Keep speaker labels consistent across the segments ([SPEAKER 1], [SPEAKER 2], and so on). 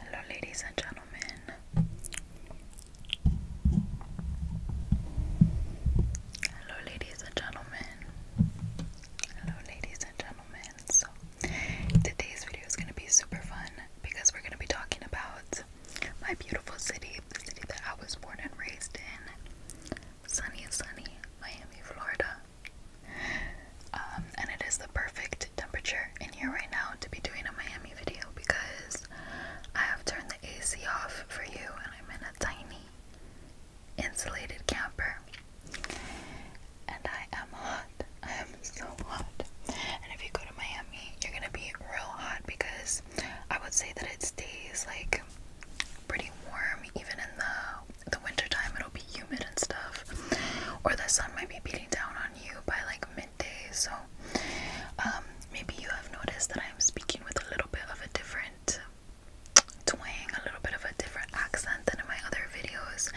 [SPEAKER 1] Hello, ladies and gentlemen. Hello, ladies and gentlemen. Hello, ladies and gentlemen. So, today's video is going to be super fun because we're going to be talking about my beautiful city, the city that I was born and raised in sunny, sunny Miami, Florida. Um, and it is the perfect temperature in here right now to be doing a Miami video because I have turned the AC off for you and I'm in a tiny insulated camper. And I am hot. I am so hot. And if you go to Miami, you're gonna be real hot because I would say that it stays like pretty warm even in the the winter time it'll be humid and stuff or the sun might be beating down on you by like midday. So um, maybe you have noticed that I'm speaking with a little bit of a different twang, a little bit of a different accent than in my other videos.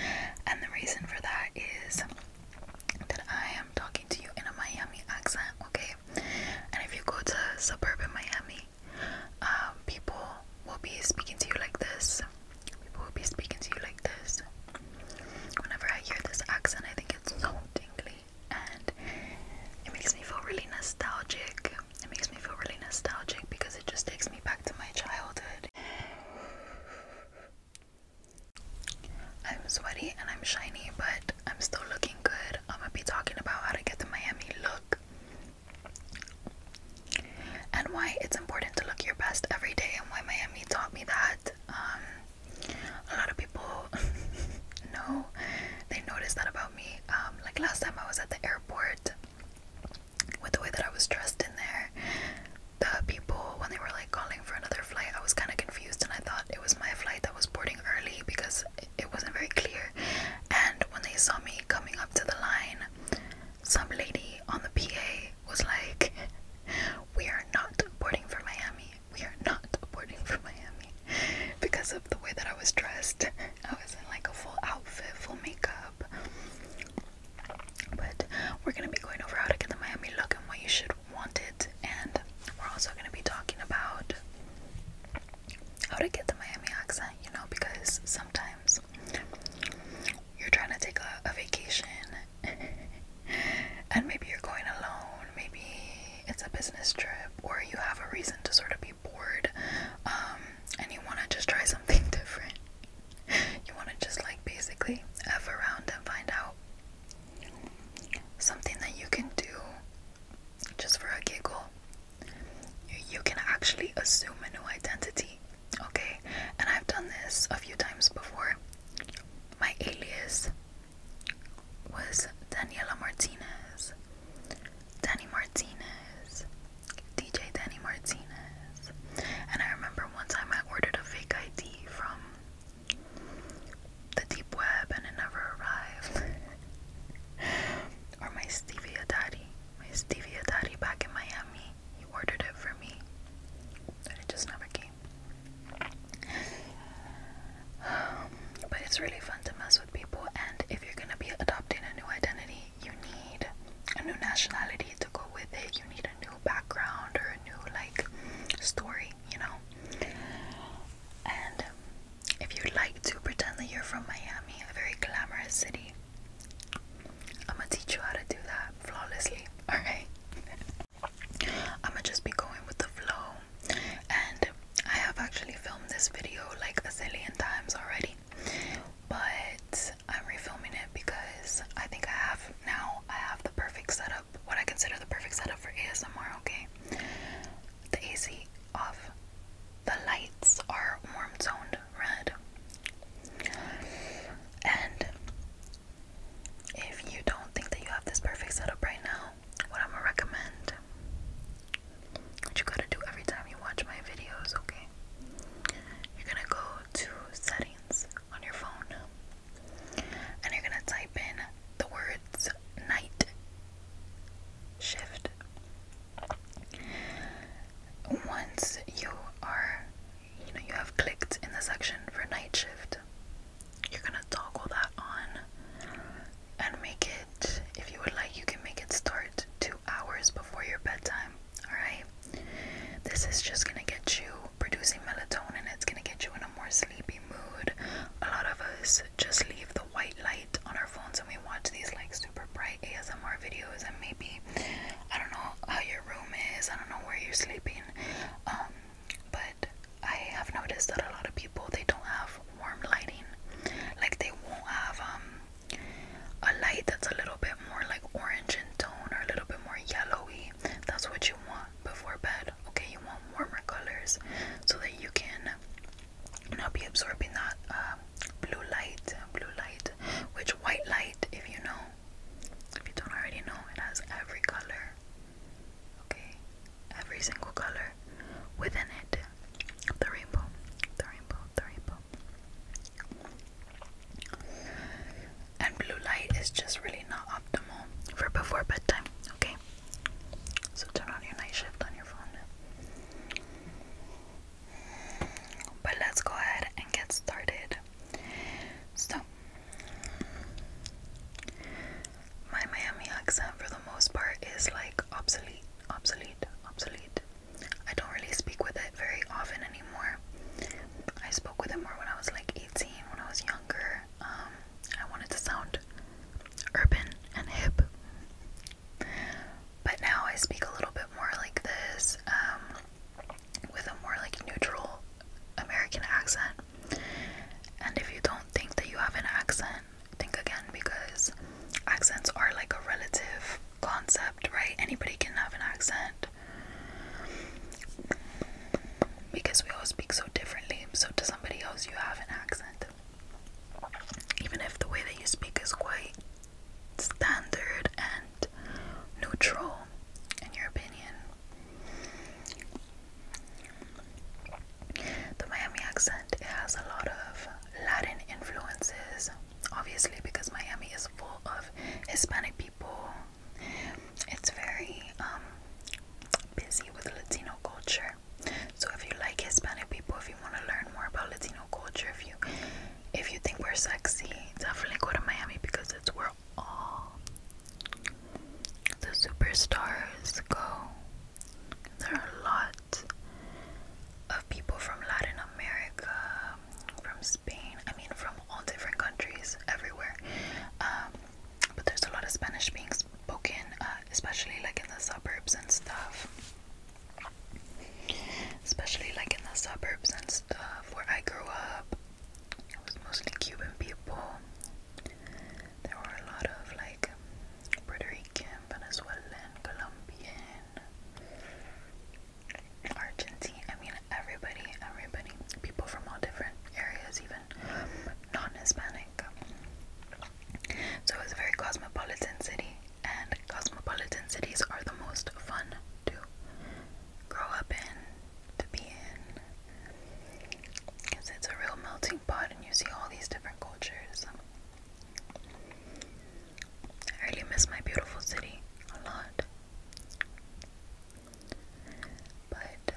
[SPEAKER 1] And the reason for that is that I am talking to you in a Miami accent, okay? And if you go to suburban Miami, um, people will be speaking to you like this people will be speaking to you like this. Whenever I hear this accent, I think it's hauntingly, and it makes me feel really nostalgic. It makes me feel really nostalgic because it just takes me back to my childhood. I'm sweaty and I'm shiny, but I'm still looking good. I'm gonna be talking about how to get the Miami look and why it's important to look your best every day, and why Miami taught me that. Um, a lot of people know they noticed that about me. Um, like last time I was at the airport, with the way that I was dressed in there, the people when they were like calling for another flight, I was kind of confused and I thought it was my flight that was boarding early because it wasn't very clear. And when they saw me coming up to the line, some lady on the PA was like, We are not boarding for Miami. We are not boarding for Miami. Because of the way that I was dressed, I was in like a full outfit, full makeup. But we're gonna be going over how to get the Miami look and what you should want it, and we're also gonna be talking about how to get the Miami accent, you know, because sometimes you're trying to take a, a vacation and maybe you're going alone, maybe it's a business trip, or you have a reason to sort of be bored um, and you want to just try something different. You want to just like basically F around and find out something that you can do just for a giggle. you can actually assume a new identity. Okay, and I've done this a few times before. My alias was Daniela Martinez, Danny Martinez, DJ Danny Martinez. And I remember one time I ordered a fake ID from the deep web and it never arrived. or my Stevia Daddy, my Stevia Daddy back in Miami, he ordered it for me, and it just never came. but it's really fun to mess with people, and if you're gonna be adopting a new identity, you need a new nationality to go with it. You need a new background or a new like story, you know. And if you'd like to pretend that you're from Miami, a very glamorous city, I'm gonna teach you how to do that flawlessly. All right. I'ma just be going with the flow. And I have actually filmed this video like a zillion times already, but I'm refilming it because I think I have now I have the perfect setup, what I consider the perfect setup for ASMR, okay? The AC off. The lights are warm toned red. And if you don't think that you have this perfect setup right now, what I'm gonna recommend, what you gotta do every time you watch my videos, okay? You're gonna go to settings on your phone and you're gonna type in the words night shift. Once you are you know you have clicked in the section for night shift you're gonna toggle that on and make it if you would like you can make it start two hours before your bedtime alright this is just gonna get you producing melatonin it's gonna get you in a more sleepy mood a lot of us just leave the white light on our phones and we watch these like super bright ASMR videos and maybe I don't know how your room is I don't know where you're sleeping um but I have noticed that a lot of people they don't have warm lighting, like they won't have um, a light that's a little bit more like orange in tone or a little bit more yellowy. That's what you want before bed. Okay, you want warmer colors so that you can not be absorbing that uh, blue light, blue light, which white light, if you know, if you don't already know, it has every color. Okay? Every single color within it. The rainbow. The rainbow. The rainbow. And blue light is just really not optimal for before bedtime. Okay? So turn on your night shift on your phone. But let's go ahead and get started. So, my Miami accent, for the most part, is like obsolete, obsolete, obsolete. I don't really speak with it very often anymore. I spoke with it more when I was like 18, when I was younger. Um, I wanted to sound urban and hip. But now I speak a little bit more like this, um, with a more like neutral American accent. And if you don't think that you have an accent, think again because accents are like a relative concept, right? Anybody can have an accent because we all speak so differently. So, to somebody else, you have an accent, even if the way that you speak is quite standard and neutral in your opinion. The Miami accent has a lot of Latin influences, obviously, because Miami is full of Hispanic people. It's very um, busy with Latino culture. So if you like Hispanic people, if you want to learn more about Latino culture, if you if you think we're sexy, definitely go to Miami because it's where all the superstars go, there are a lot of people from Latin America, from Spain, I mean, from all different countries, everywhere. Um, but there's a lot of Spanish being spoken, uh, especially like in the suburbs and stuff. Especially like in the suburbs and stuff where I grew up. It was mostly Cuban people. There were a lot of like Puerto Rican, Venezuelan, Colombian, Argentine. I mean, everybody, everybody, people from all different areas, even non-Hispanic. So it was a very cosmopolitan city, and cosmopolitan cities are the most fun to grow up in, to be in. Because it's a real melting pot and you see all these different cultures. I really miss my beautiful city a lot. But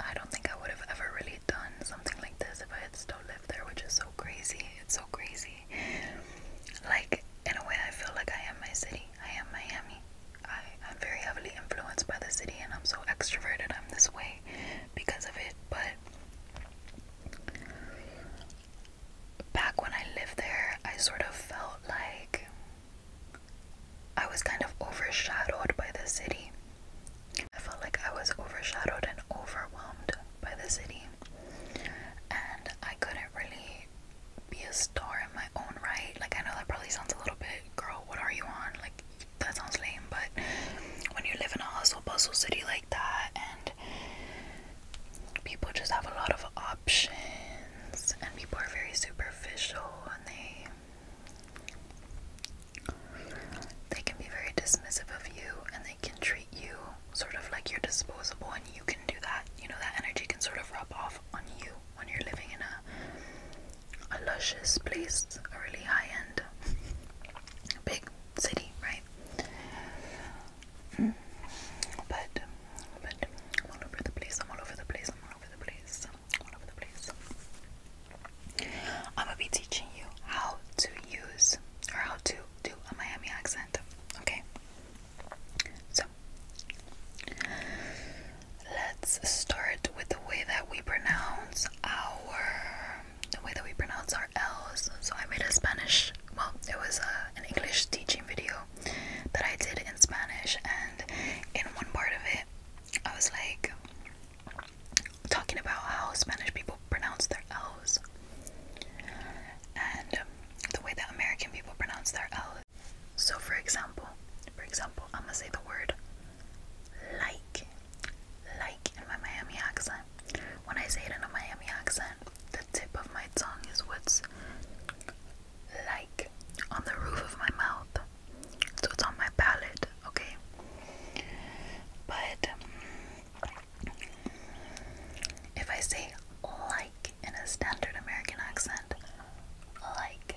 [SPEAKER 1] I don't think I would have ever really done something like this if I had still lived there, which is so crazy. It's so crazy. Like, in a way, I feel like I am my city. I am Miami. I, am very heavily influenced by the city and I'm so extroverted. I'm this way because of it. But back when I lived there, I sort of felt like I was kind of overshadowed by the city. I felt like I was overshadowed and overwhelmed by the city. And I couldn't really be a star in my own right. Like, I know that probably sounds a little bit, girl, what are you on? Like, that sounds lame, but when you live in a hustle bustle city like that, and people just have a lot of options, and people are very superficial, and they they can be very dismissive of you, and they can treat you sort of like you're disposable, and you can do that. You know, that energy can sort of rub off on you when you're living in a a luscious place, a really high end, big city, right? Mm. But, but all over the place. I'm all over the place. I'm all over the place. I'm all over the place. I'm gonna be teaching you how to use or how to do a Miami accent. Okay. So, Let's start with the way that we pronounce our the way that we pronounce our L's. So I made a Spanish, well, it was a, uh, an English teaching video that I did in Spanish, and in one part of it, I was like talking about how Spanish people pronounce their L's and the way that American people pronounce their L's. So for example, for example, I'm gonna say the word like, like in my Miami accent. When I say it in a Miami accent, the tip of my tongue is what's like on the roof of my mouth. So it's on my palate, okay? But if I say like in a standard American accent, like,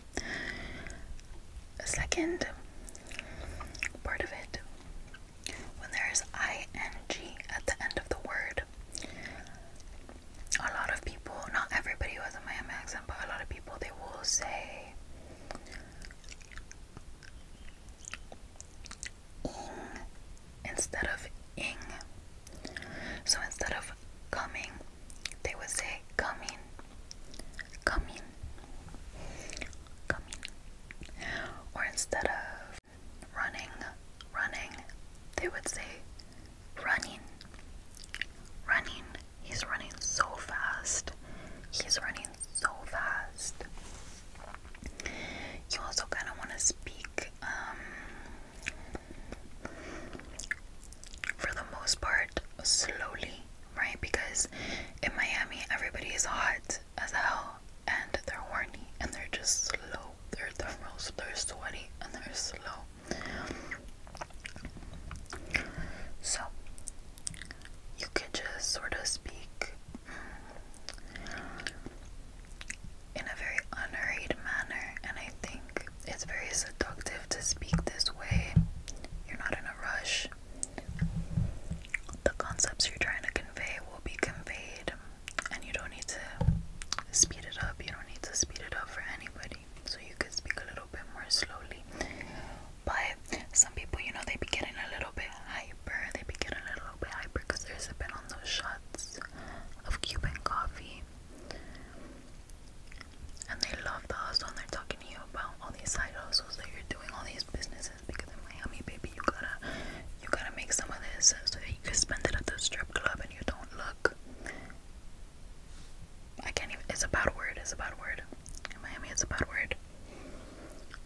[SPEAKER 1] A second part of it, when there is ing at the end of the word, a lot of people, not everybody who has a Miami accent, but a lot of people, they will say ing instead of ing. So instead of coming, they would say coming, coming, coming. Or instead of running, running, they would say running, running. He's running so fast. He's running so fast. You also kind of want to speak um, for the most part slowly, right? Because in Miami, everybody is hot as hell and they're horny and they're just slow. They're thermals, they're sweaty, and they're slow. So, you could just sort of speak mm, in a very unhurried manner, and I think it's very seductive to speak this way. You're not in a rush. The concepts you're trying to convey will be conveyed, and you don't need to speed it up. You don't need to speed it up for anybody. So you could speak a little bit more slowly. But some people, you know, they be a little bit hyper. They be a little bit hyper because they're sipping on those shots of Cuban coffee and they love the hustle and they're talking to you about all these side hustles that you're doing, all these businesses because in Miami, baby, you gotta you gotta make some of this so that you can spend it at the strip club and you don't look. I can't even. It's a bad word. It's a bad word. In Miami, it's a bad word.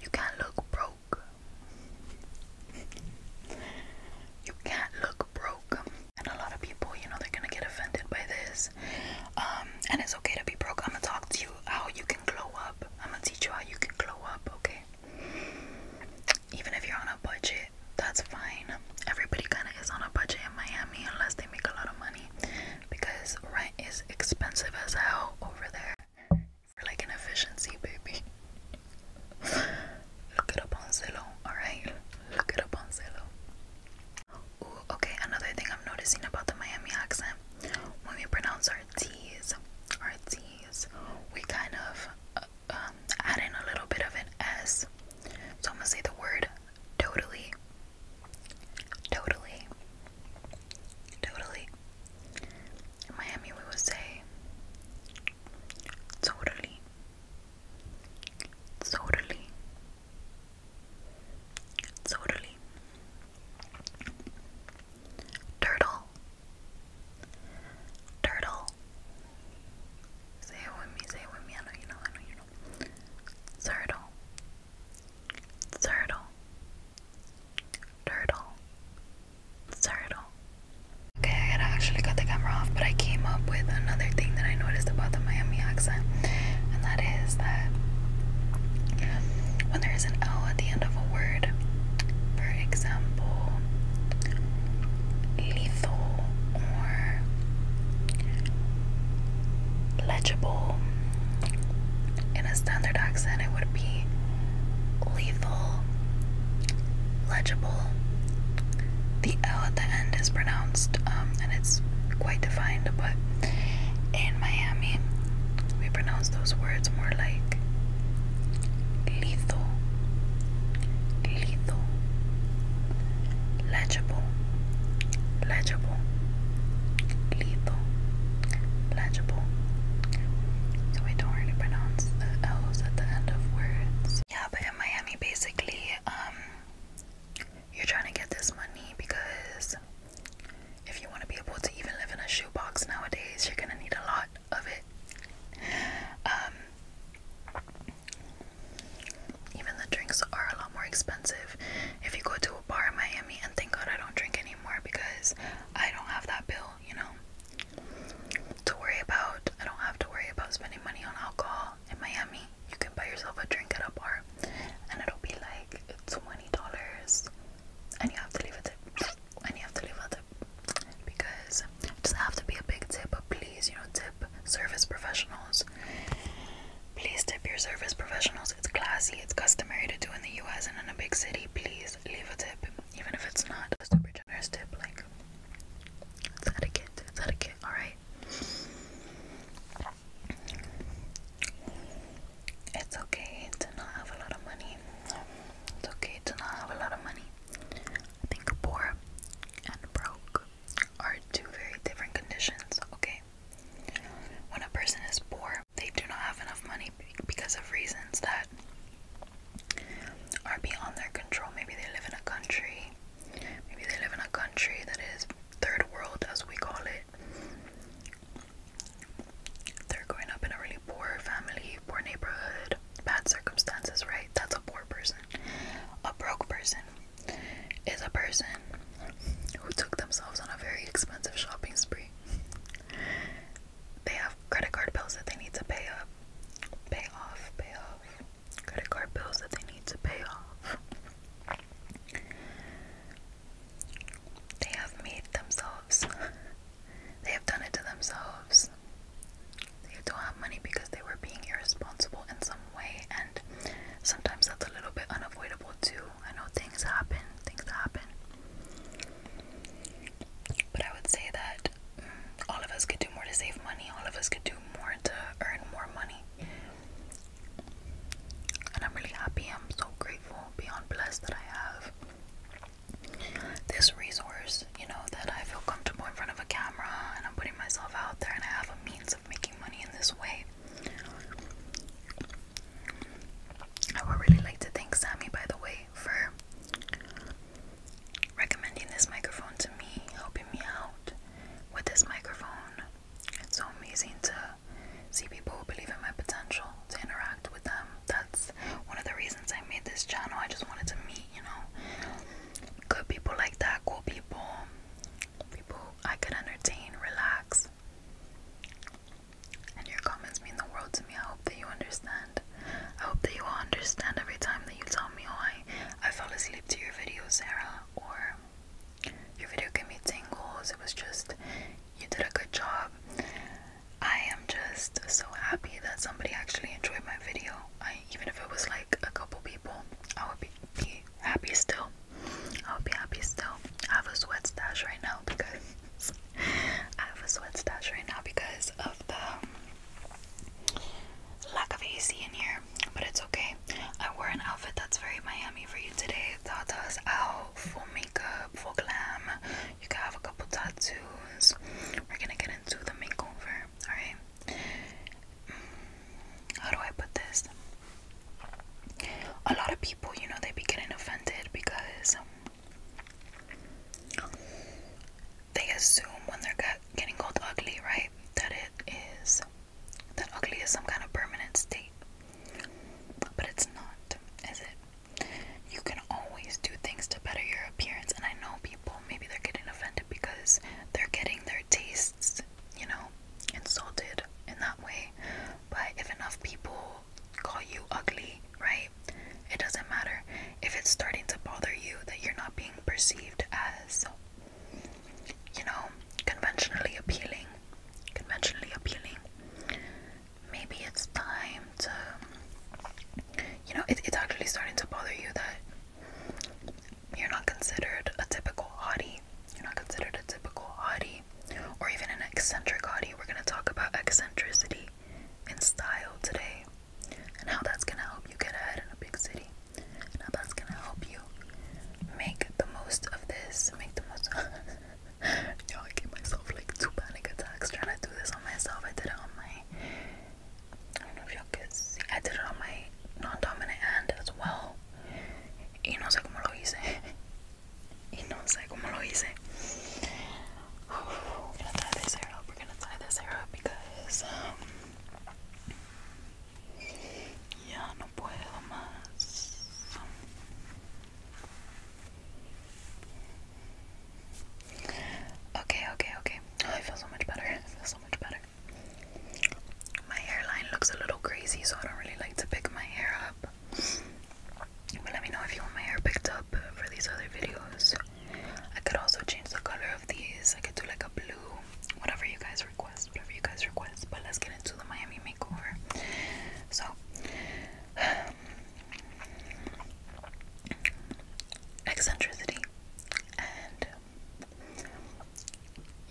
[SPEAKER 1] You can't look broke. you can't look broke. And a lot of people, you know, they're gonna get offended by this. Um, and it's okay to be broke. I'm gonna talk to you how you can grow up. I'm gonna teach you how you can grow up, okay? Even if you're on a budget, that's fine. Everybody kinda is on a budget in Miami unless they make a lot of money because rent is expensive as hell over there. For like an efficiency, baby. Look it up on alright? Look it up on okay, another thing I'm noticing about the Miami accent, when we pronounce our T's, our T's, we kind of uh, um, add in a little bit of an S. So I'm gonna say the word totally, totally, totally. In Miami, we would say totally, totally, it's orderly. Turtle. Turtle. Say it with me, say it with me. I know you know, I know you know. Turtle. Turtle. Turtle. Turtle. Okay, I actually cut the camera off, but I came up with another thing that I noticed about the Miami accent, and that is that when there is an L at the end of a word, for example, lethal or legible, in a standard accent, it would be lethal, legible, the L at the end is pronounced um, and it's quite defined, but in Miami, we pronounce those words more like lethal, lethal, legible, legible, lethal, legible. So we don't really pronounce the L's at the end of words. Yeah, but in Miami, basically, um, you're trying to get this money because if you want to be able to even live in a shoebox nowadays, you're gonna need a lot of it. Um, even the drinks are a lot more expensive. If you go to a bar in Miami, and thank God I don't drink anymore because I don't have that bill, you know, to worry about. I don't have to worry about spending money on alcohol in Miami you can buy yourself a drink at a bar and it'll be like $20 and you have to leave a tip and you have to leave a tip because it doesn't have to be a big tip but please you know tip service professionals please tip your service professionals it's classy it's customary to do in the US and in a big city please leave a tip even if it's not a super generous tip like it's etiquette it's etiquette all right it's okay to not have a lot of money. It's okay to not have a lot of money. I think poor and broke are two very different conditions, okay? When a person is poor, they do not have enough money because of reasons that are beyond their control. Maybe they live in a country, maybe they live in a country that is third world as we call it they're growing up in a really poor family poor neighborhood bad circumstances right that's a poor person a broke person is a person who took themselves on a very expensive shopping spree they have credit card bills that they need to pay up pay off pay off credit card bills that they need to pay off. They have made themselves, they have done it to themselves. They don't have money because they were being irresponsible in some way, and sometimes that's a little bit unavoidable too. I know things happen, things happen. But I would say that mm, all of us could do more to save money, all of us could do more to earn more money. And I'm really happy. I'm so grateful, beyond blessed that I have this resource, you know, that I feel comfortable in front of a camera and I'm putting myself out there and I have a means of making money in this way. I would really like to thank Sammy, by the way, for recommending this microphone to me, helping me out with this microphone. It's so amazing to see people who believe in my potential, to interact with them. That's one of the reasons I made this channel. I just wanted to meet, you know, good people like that, cool people, people I could entertain, relax. And your comments mean the world to me. I hope that you understand. I hope that you all understand every time that you tell me, oh, I, I fell asleep to your videos, Sarah, or your video gave me tingles. It was just, you did a good job. I am just so happy that somebody actually enjoyed my video. I, even if it was like a couple people, I would be, be happy still. I would be happy still. I have a sweat stash right now because I have a sweat stash right now because of the lack of AC in here but it's okay. I wore an outfit that's very Miami for you today. Tata's out, full makeup, full glam. You can have a couple tattoos. We're gonna get into the makeover, alright? Mm, how do I put this? A lot of people, you know, they be getting offended because they assume when they're getting old ugly, right, that it is that ugly is some kind of permanent state. But it's not, is it? You can always do things to better your appearance, and I know people maybe they're getting offended because they're getting their tastes, you know, insulted in that way. But if enough people call you ugly, right? It doesn't matter if it's starting to bother you that you're not being perceived as you know, conventionally appealing. Conventionally appealing. Maybe it's time to, you know, it, it's actually starting to bother you that you're not considered a typical hottie. You're not considered a typical hottie or even an eccentric hottie. We're going to talk about eccentricity in style today and how that's going to help you get ahead in a big city. Now that's gonna help you make the most of this. Make the most. Yo, I gave myself like two panic attacks trying to do this on myself. I did it on my. I don't know if y'all can see. I did it on my non-dominant hand as well. Y no sé cómo lo hice. Y no sé cómo lo hice. We're gonna tie this hair up. We're gonna tie this hair up because um, Ya no puedo más. Okay, okay, okay. I feel so much better. I feel so much better. My hairline looks a little crazy, so I don't really like to pick my hair up. But let me know if you want my hair picked up for these other videos. I could also change the color of these. I could do like a blue, whatever you guys request whatever you guys request. But let's get into the Miami makeover. So, eccentricity and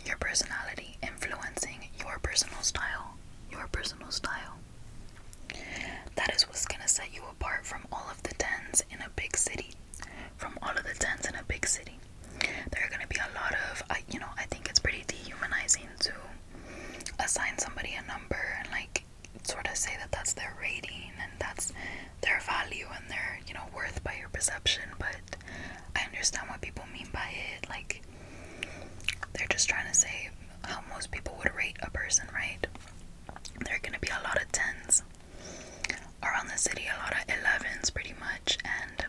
[SPEAKER 1] your personality influencing your personal style. Your personal style. That is what's gonna set you apart from all of the tens in a big city. From all of the tens in a big city there are going to be a lot of uh, you know i think it's pretty dehumanizing to assign somebody a number and like sort of say that that's their rating and that's their value and their you know worth by your perception but i understand what people mean by it like they're just trying to say how most people would rate a person right there are going to be a lot of tens around the city a lot of 11s pretty much and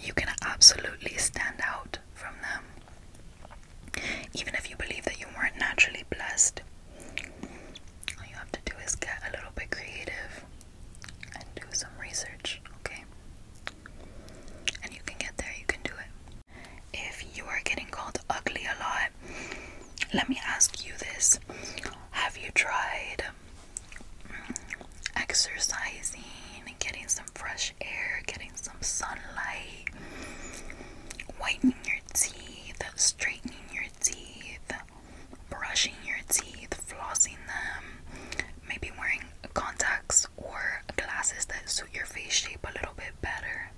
[SPEAKER 1] you can absolutely stand out from them. Even if you believe that you weren't naturally blessed, all you have to do is get a little bit creative and do some research, okay? And you can get there, you can do it. If you are getting called ugly a lot, let me ask you this Have you tried exercising, getting some fresh air, getting some sunlight, whitening your teeth, straightening your teeth, brushing your teeth, flossing them, maybe wearing contacts or glasses that suit your face shape a little bit better.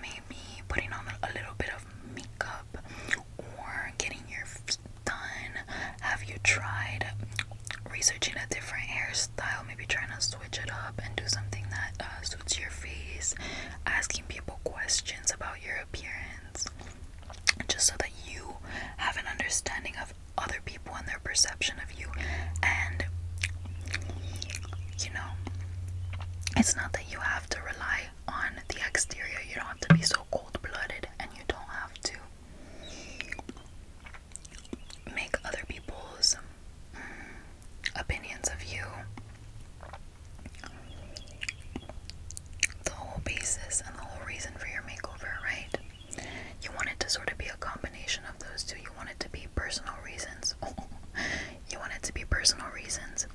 [SPEAKER 1] Maybe putting on a little bit of makeup or getting your done? Have you tried researching a different hairstyle? Maybe trying to switch it up and do something that uh, suits your face. Asking people questions about your appearance, just so that you have an understanding of other people and their perception of you. And you know, it's not that you have to rely on the exterior, you don't have to be so cold blooded, and you don't have to make other people's mm, opinions of you the whole basis and the whole reason for your makeover, right? You want it to sort of be a combination of those two. You want it to be personal reasons. you want it to be personal reasons.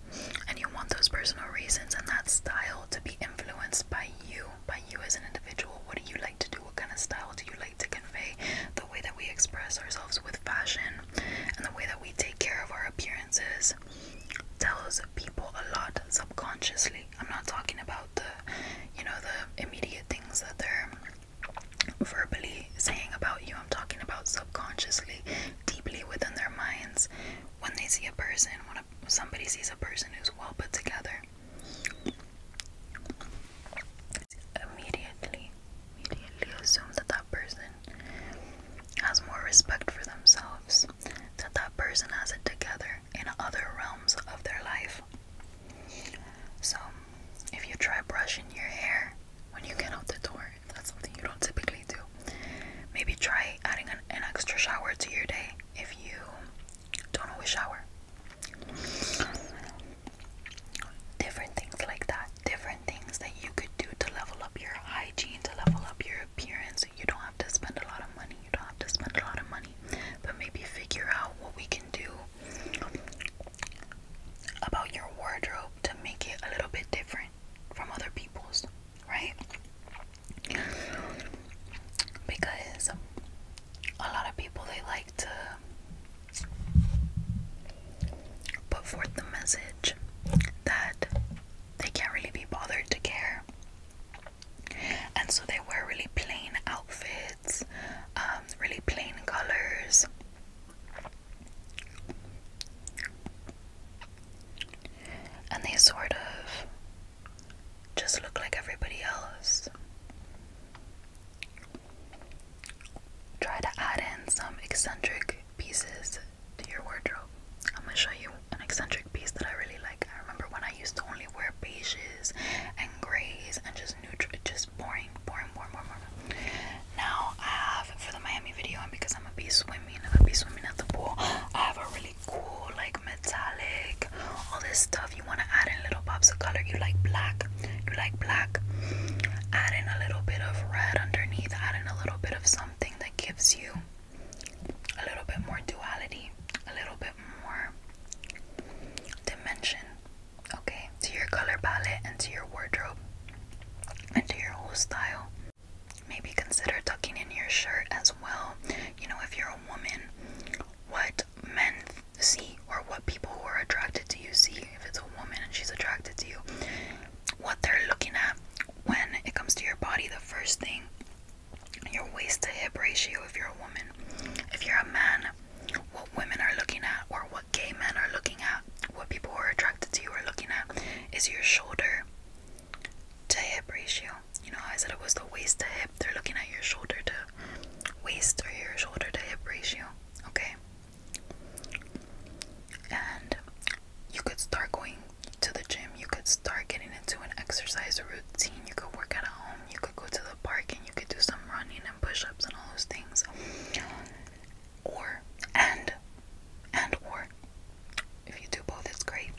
[SPEAKER 1] And you want those personal reasons and that style to be influenced by you by you as an individual. What do you like to do? What kind of style do you like to convey? The way that we express ourselves with fashion and the way that we take care of our appearances tells people a lot subconsciously. I'm not talking about the, you know, the immediate things that they're verbally saying about you. I'm talking about subconsciously, deeply within their minds. When they see a person, when a somebody sees a person who's well put together immediately immediately assume that that person has more respect for themselves that that person has it together in other realms of their life so if you try brushing your hair when you get out the door that's something you don't typically do maybe try adding an extra shower to your day if you don't always shower. Different things like that, different things that you could do to level up your hygiene, to level up your appearance. You don't have to spend a lot of money, you don't have to spend a lot of money, but maybe figure out what we can do about your wardrobe to make it a little bit different from other people's, right? because a lot of people they like to put forth the message that they can't really be bothered to care and so they wear really plain outfits um, really plain colors and they sort of just look like everybody else. Try to add in some eccentric pieces to your wardrobe. I'm gonna show you an eccentric piece that I really like. I remember when I used to only wear beiges and grays and just neutral, just boring, boring, boring, boring, Now I have for the Miami video, and because I'm gonna be swimming, I'm gonna be swimming at the pool. I have a really cool, like metallic, all this stuff. You want to add in little pops of color. You like black, you like black. Adding a little bit of red underneath, Adding a little bit of something that gives you a little bit more duality, a little bit more dimension, okay, to your color palette and to your wardrobe and to your whole style. Maybe consider tucking in your shirt as well. You know, if you're a woman what men see or what people who are attracted to you see if it's a woman and she's attracted to you what they're looking at when it comes to your body the first thing your waist to hip ratio if you're a woman if you're a man what women are looking at or what gay men are looking at what people who are attracted to you are looking at is your shoulder to hip ratio. You know, I said it was the waist to hip. They're looking at your shoulder to waist or your shoulder to hip ratio. Okay. And you could start going to the gym. You could start getting into an exercise routine. You could work at home. You could go to the park and you could do some running and push-ups and all those things. Or and and or if you do both, it's great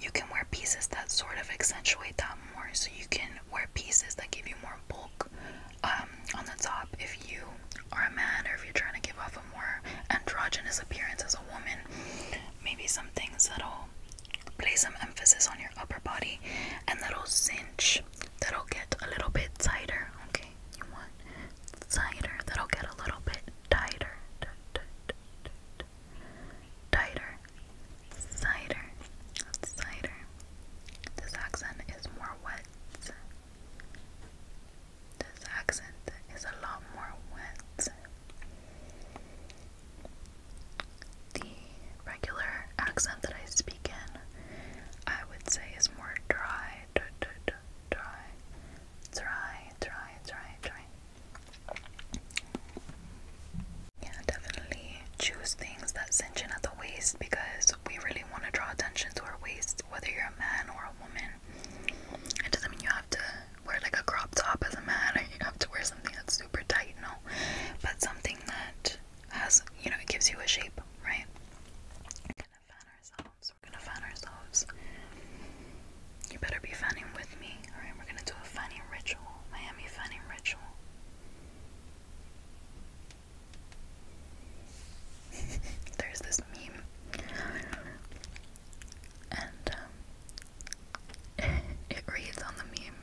[SPEAKER 1] you can wear pieces that sort of accentuate that more. So you can wear pieces that give you more bulk um, on the top if you are a man or if you're trying to give off a more androgynous appearance as a woman. Maybe some things that'll play some emphasis on your upper body and that'll cinch, that'll get a little bit tighter. Okay, you want tighter, that'll get a little bit tighter. Tighter. Cider. Cider. This accent is more wet. This accent is a lot more wet. The regular accent that I speak in, I would say, is more dry. Dry, dry, dry, dry, dry, dry. Yeah, definitely choose things that cinch in at the waist because we really want to draw attention to our waist, whether you're a man or a woman. It doesn't mean you have to wear like a crop top as a man or you have to wear something that's super tight, no. But something that has, you know, it gives you a shape, right? We're gonna fan ourselves, we're gonna fan ourselves. You better be fanning with me. Alright, we're gonna do a funny ritual. Miami funny ritual. There's this meme. And um, it reads on the meme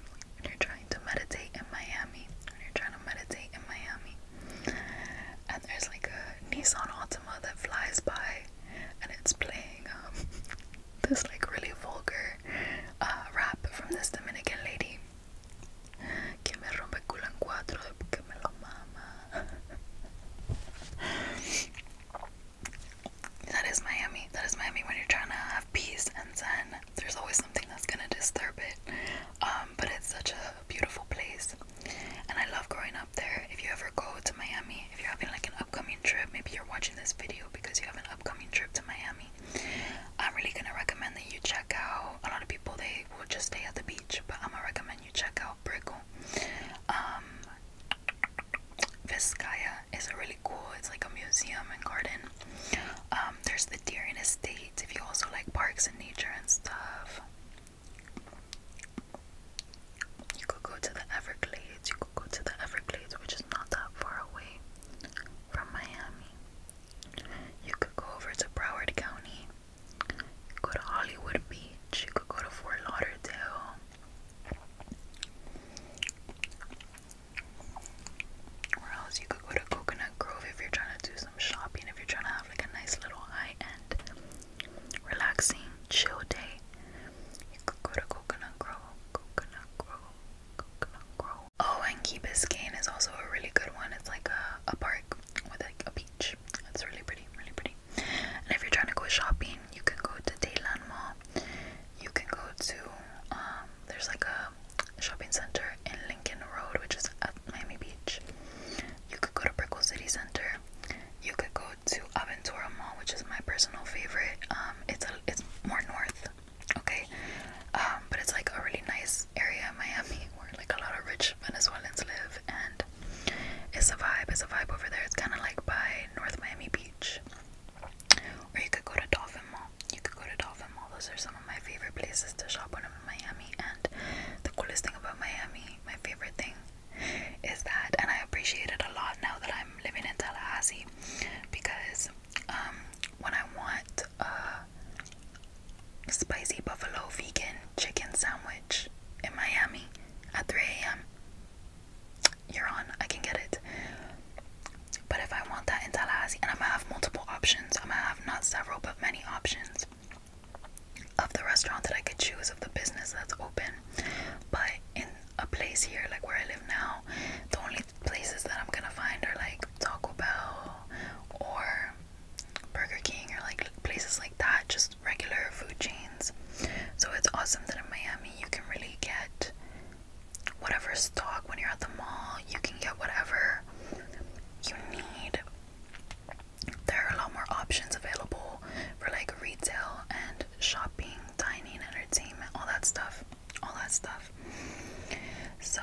[SPEAKER 1] you're trying to meditate in Miami. When you're trying to meditate in Miami. And there's like a Nissan Altima that flies by and it's playing um this like really vulgar uh, rap from this Dominican lady. That is Miami. That is Miami when you're trying to have peace and zen. There's always something that's gonna disturb it. Um, but it's such a beautiful place, and I love growing up there. If you ever go to Miami, if you're having like an upcoming trip, maybe you're watching this video because you have an upcoming trip to Miami. I'm really gonna recommend that you check out. A lot of people they will just stay at the beach, but I'm gonna recommend you check out Brickle. Um, Vizcaya is a really cool. It's like a museum and garden. Um, there's the Deer in Estate. If you also like parks and nature and stuff, you could go to the Everglades. You could go to the Everglades, which is not that far away from Miami. You could go over to Broward County. You could go to Hollywood Beach. You could go to Fort Lauderdale. Or else you could go to Coconut Grove if you're trying to do some shopping, if you're trying to have like a nice little high end, relaxing, chill day. You could go to Coconut Grove, Coconut Grove, Oh, and Key Biscayne is also a really good one. It's like a, a park with like a beach. It's really pretty, really pretty. And if you're trying to go shopping, you can go to Dayland Mall. You can go to um, there's like a shopping center in Lincoln Road, which is at Miami Beach. You could go to Brickell City Center. You could go to Aventura Mall, which is my personal favorite. Um, it's a, it's more north. Okay, um, but it's like a really nice area in Miami where like a lot of rich Venezuelans live, and it's a vibe. It's a vibe over there. It's kind of like by North Miami Beach, or you could go to Dolphin Mall. You could go to Dolphin Mall. Those are some of my favorite places to shop when I'm in Miami. And the coolest thing about Miami, my favorite thing, is that, and I appreciate it a lot now that I'm living in Tallahassee, because um, when I want a spicy buffalo vegan chicken sandwich in Miami at 3 a.m., you're on, I can get it. But if I want that in Tallahassee, and I'm gonna have multiple options, I'm gonna have not several but many options of the restaurant that I could choose, of the business that's open. But in a place here, like where I live now, the only places that I'm gonna find are like Taco Bell or Burger King or like places like that, just regular food chains. So it's awesome that in Miami you can really get whatever stock when you're at the mall, you can get whatever you need. There are a lot more options available for like retail and shopping, dining, entertainment, all that stuff all that stuff. So,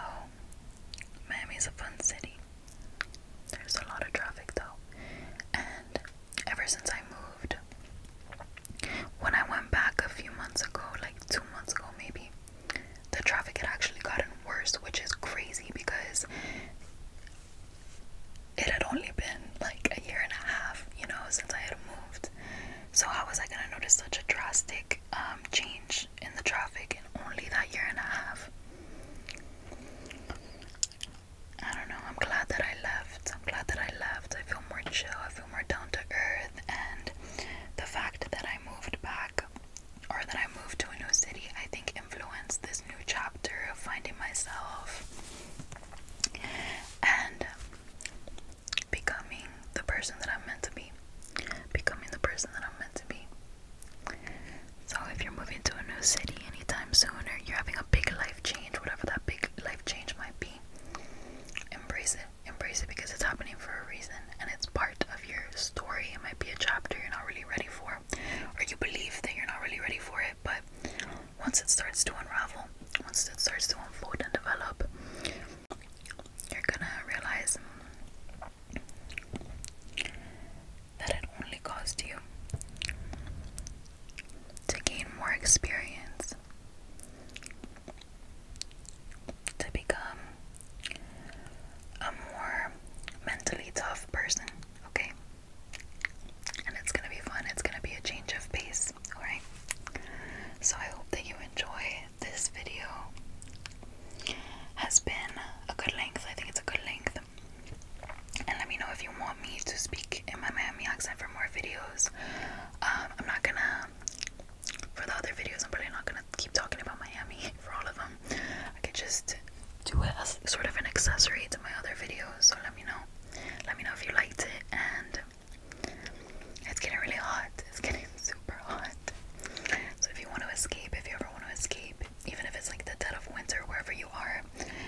[SPEAKER 1] Miami's a fun city. There's a lot of traffic though. And ever since I moved, when I went back a few months ago, like two months ago maybe, the traffic had actually gotten worse, which is crazy because it had only been like a year and a half, you know, since I had moved. So how was I gonna notice such a drastic um, change in the traffic in only that year and a half? I don't know. I'm glad that I left. I'm glad that I left. I feel more chill. I feel more down to earth. And the fact that I moved back or that I moved to a new city, I think influenced this new chapter of finding myself. And becoming the person that I'm meant to be. Becoming the person that I'm meant to be. So, if you're moving to a new city anytime soon, you're having a big life change, whatever that big life change might be, embrace it. Embrace it because it's happening for a reason and it's part of your story. It might be a chapter you're not really ready for, or you believe that you're not really ready for it, but once it starts to unravel, once it starts to unfold and develop, you're gonna realize that it only caused you to gain more experience, to become a more mentally tough person, okay? And it's gonna be fun, it's gonna be a change of pace, alright? So I hope that you enjoy this video has been a good length. I think it's a good length. And let me know if you want me to speak in my Miami accent for more videos. Um, I'm not gonna, for the other videos, I'm probably not gonna keep talking about Miami for all of them. I could just do it as sort of an accessory to my other videos. So let me know. Let me know if you liked it and it's getting really hot. It's getting super hot. So if you want to escape, if you ever want to escape, even if it's like the dead of winter, wherever you are,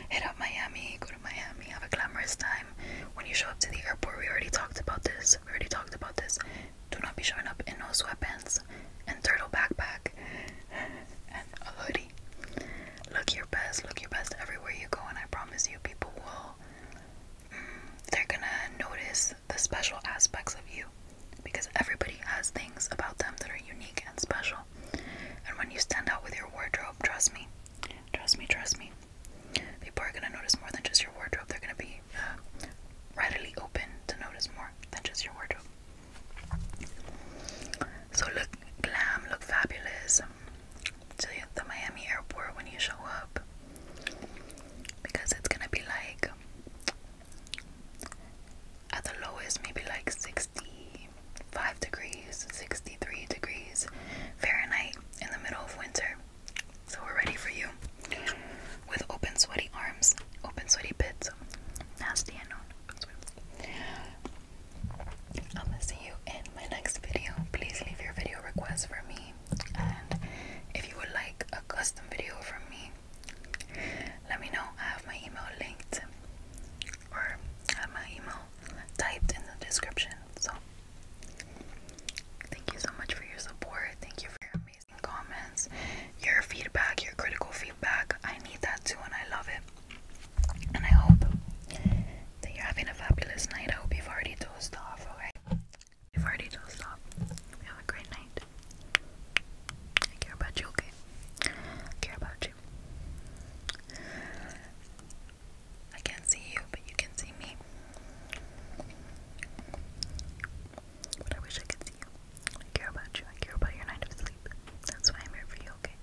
[SPEAKER 1] hit up Miami, go to Miami, have a glamorous time. When you show up to the airport, we already talked about this. We already talked about this. Do not be showing up in no sweatpants and turtle backpack and a hoodie. Look your best, look your best everywhere you go, and I promise you people will they're gonna notice the special aspects of you because everybody has things about them that are unique and special. And when you stand out with your wardrobe, trust me, trust me, trust me, people are gonna notice more than just your wardrobe. They're gonna be uh, readily open to notice more than just your wardrobe. So look glam, look fabulous to the Miami airport when you show up because it's gonna be like at the lowest maybe like 65 degrees 63 degrees Fahrenheit in the middle of winter so we're ready for you with open sweaty arms open sweaty pits nasty and I'm gonna see you in my next video please leave your video requests for me and if you would like a custom video from me let me know I have my email linked or have my email typed in the description so thank you so much for your support thank you for your amazing comments your feedback your critical feedback I need that too and I love it and I hope that you're having a fabulous night I hope you've already dozed off okay You've already dozed off. Have a great night. I care about you, okay? I care about you. I can't see you, but you can see me. But I wish I could see you. I care about you. I care about your night of sleep. That's why I'm here for you, okay?